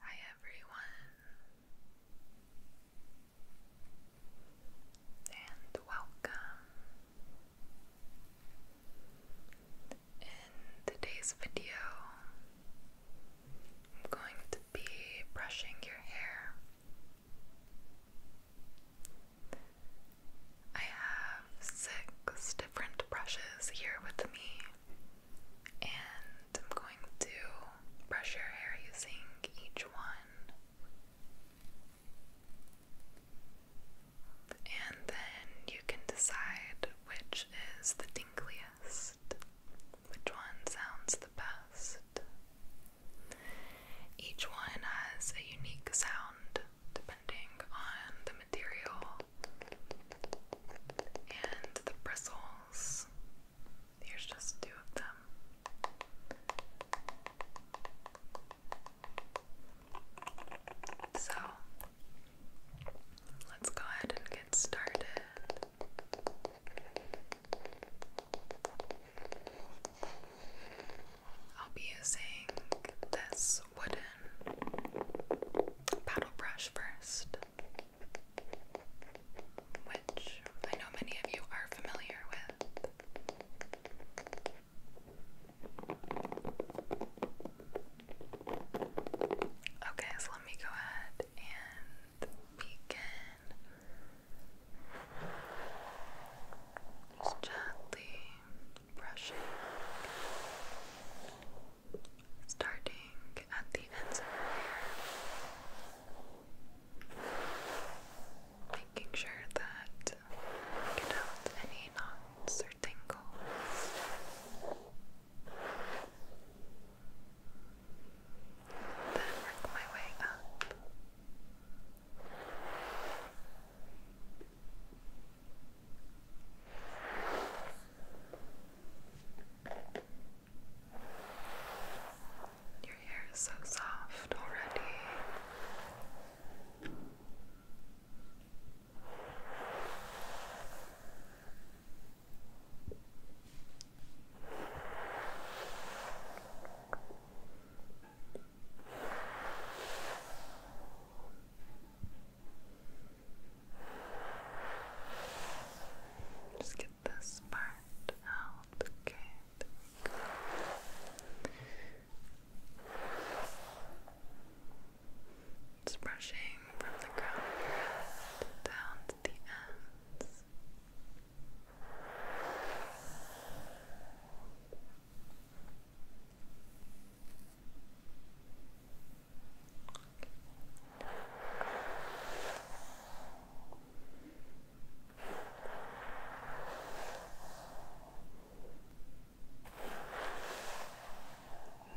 Hi everyone, and welcome. In today's video, I'm going to be brushing your hair. I have six different brushes here with me, and I'm going to brush your hair using each one. And then you can decide which is the tingliest, which one sounds the best. Each one has a unique sound depending on the material and the bristles. Here's just two of them. So let's go ahead and get started. I'll be using this wooden paddle brush first, which I know many of you are familiar with. Okay, so let me go ahead and begin. Just gently brushing starting at the ends of your hair, making sure that you get out any knots or tangles. Then work my way up. Your hair is so soft already. Just get this part out. Okay, there brushing from the crown of your head down to the ends.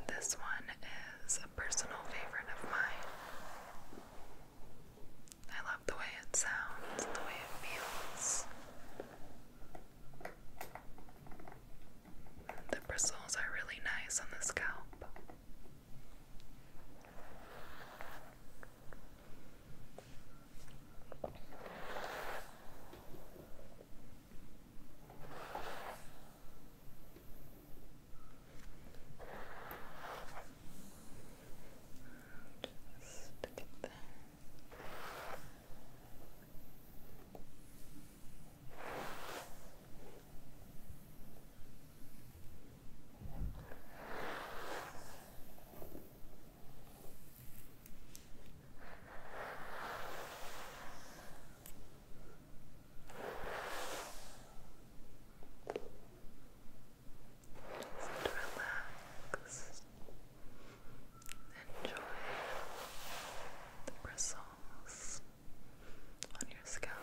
This one is a personal favorite of mine. I love the way it sounds, the way it feels. The bristles are really nice on the scalp. Just get that. Just relax. Enjoy the bristles on your scalp.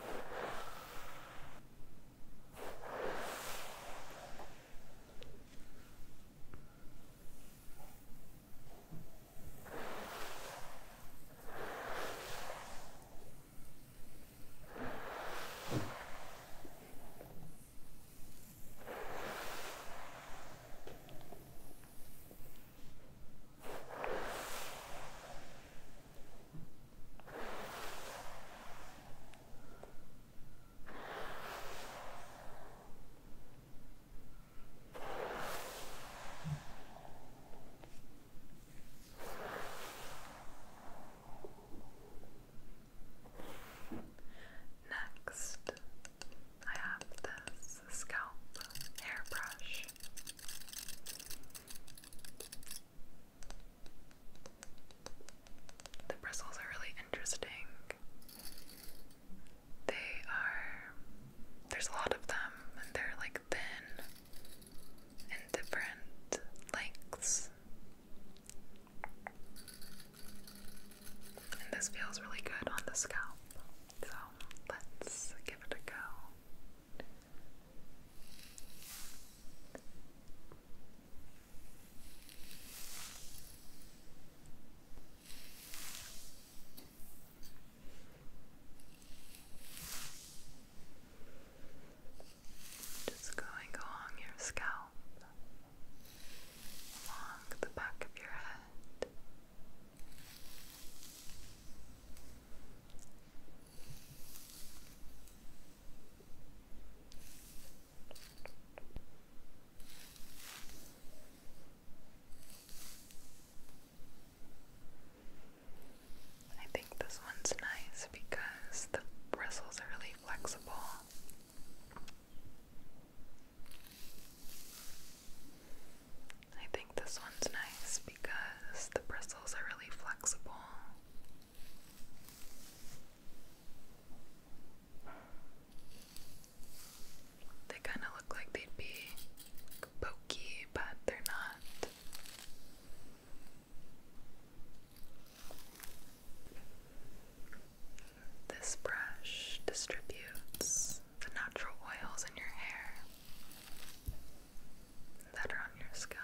Next, I have this the scalp hairbrush. The bristles are really interesting. They are, there's a lot of them, and they're like thin and different lengths. And this feels really good on the scalp. So let's give it a go. Just going along your scalp, along the back of your head, I think this one's nice because the bristles are really flexible. I think this one's nice because the bristles are really flexible. They kind of look like they'd be pokey, but they're not. This brush distributes the natural oils in your hair that are on your scalp.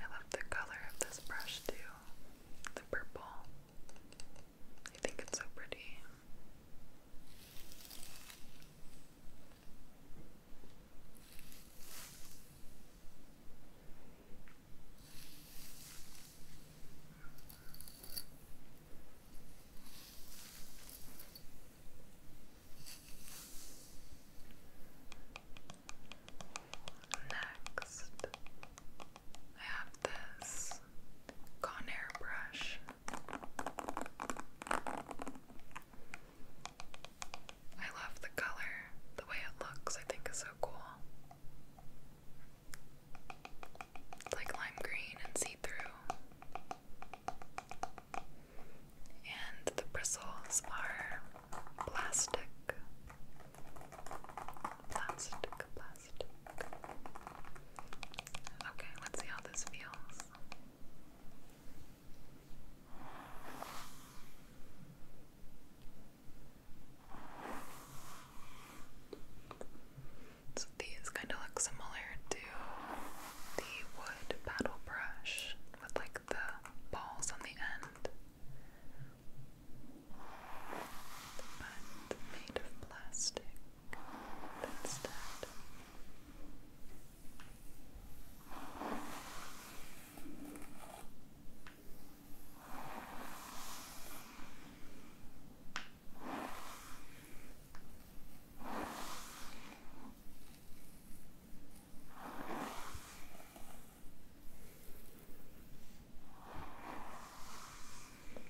I love the color of this brush too, the purple. I think it's so pretty. Next, I have this Conair brush. I love the color, the way it looks, I think is so cool. It's like lime green and see through. And the bristles are plastic. Plastic, plastic. Okay, let's see how this feels. So these kind of look similar to the wood paddle brush with like the balls on the end, but made of plastic. That's that. Good.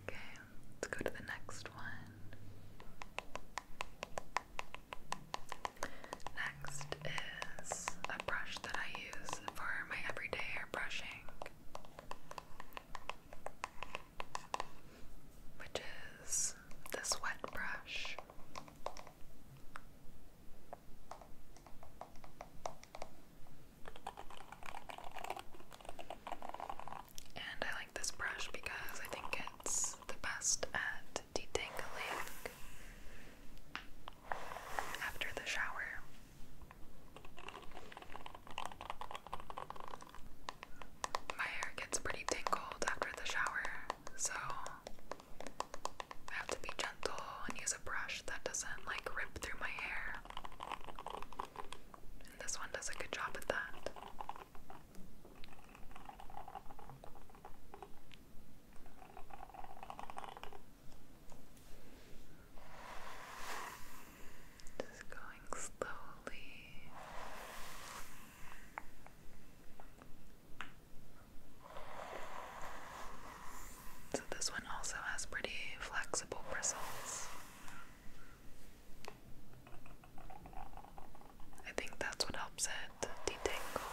Okay, let's go to the next one. Next, it is a brush that I use for my everyday hair brushing, which is this wet brush. And I like this brush because I think it's the best at detangling after the shower. My hair gets pretty tingled after the shower, so I have to be gentle and use a brush that doesn't like rip through my hair. this one does a good job at that. Just going slowly. So, this one also has pretty flexible bristles. I think that's what helps it detangle.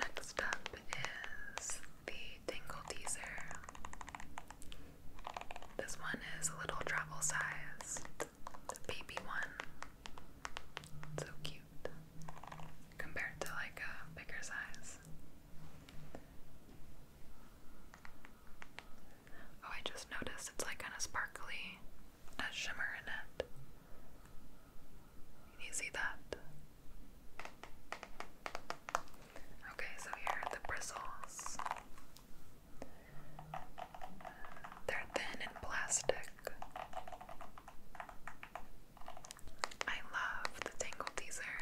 Next up is the Tingle Teaser. This one is a little travel sized, baby one. So cute compared to like a bigger size. Oh, I just noticed it's like kind of sparkly, a shimmer in it. you see that? Okay, so here are the bristles. They're thin and plastic. I love the Tangle Teaser.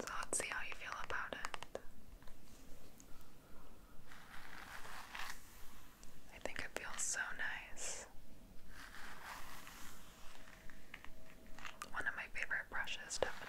So let's see how you feel about it. I think it feels so nice. One of my favorite brushes, definitely.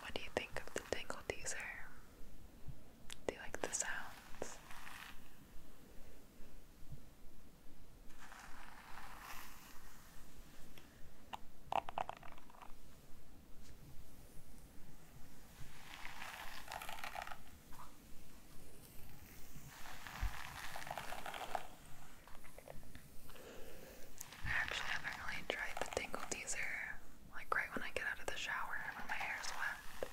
What do you think of the tingle teaser? Do you like the sounds? I actually haven't really tried the tingle teaser, like right when I get out of the shower when my hair's wet.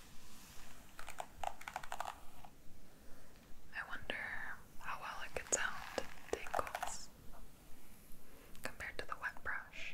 I wonder how well it could sound tingles compared to the wet brush.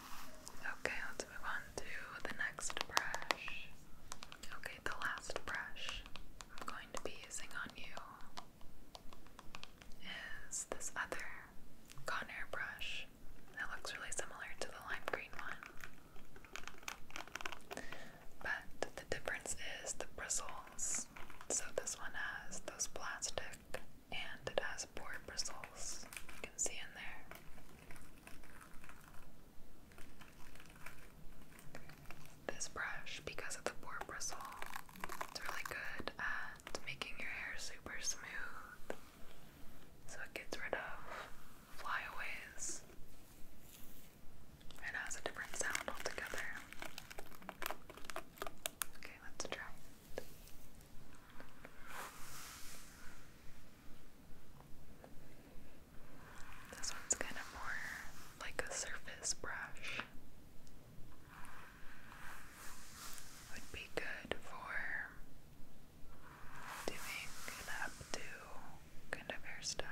Okay, let's move on to the next brush. Okay, the last brush I'm going to be using on you is this other Conair brush that looks really similar to the lime green one. But the difference is the bristles. So this one has those plastic and it has board bristles. You can see in there. This brush, because of the boar bristle, it's really good at making your hair super smooth. So it gets rid of flyaways and has a different sound altogether. Okay, let's try this one's kind of more like a surface brush. Would be good for doing an updo kind of hairstyle.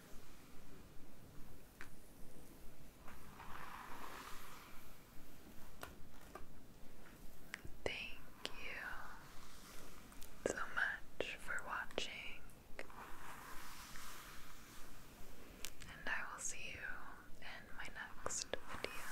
Thank you so much for watching, and I will see you in my next video.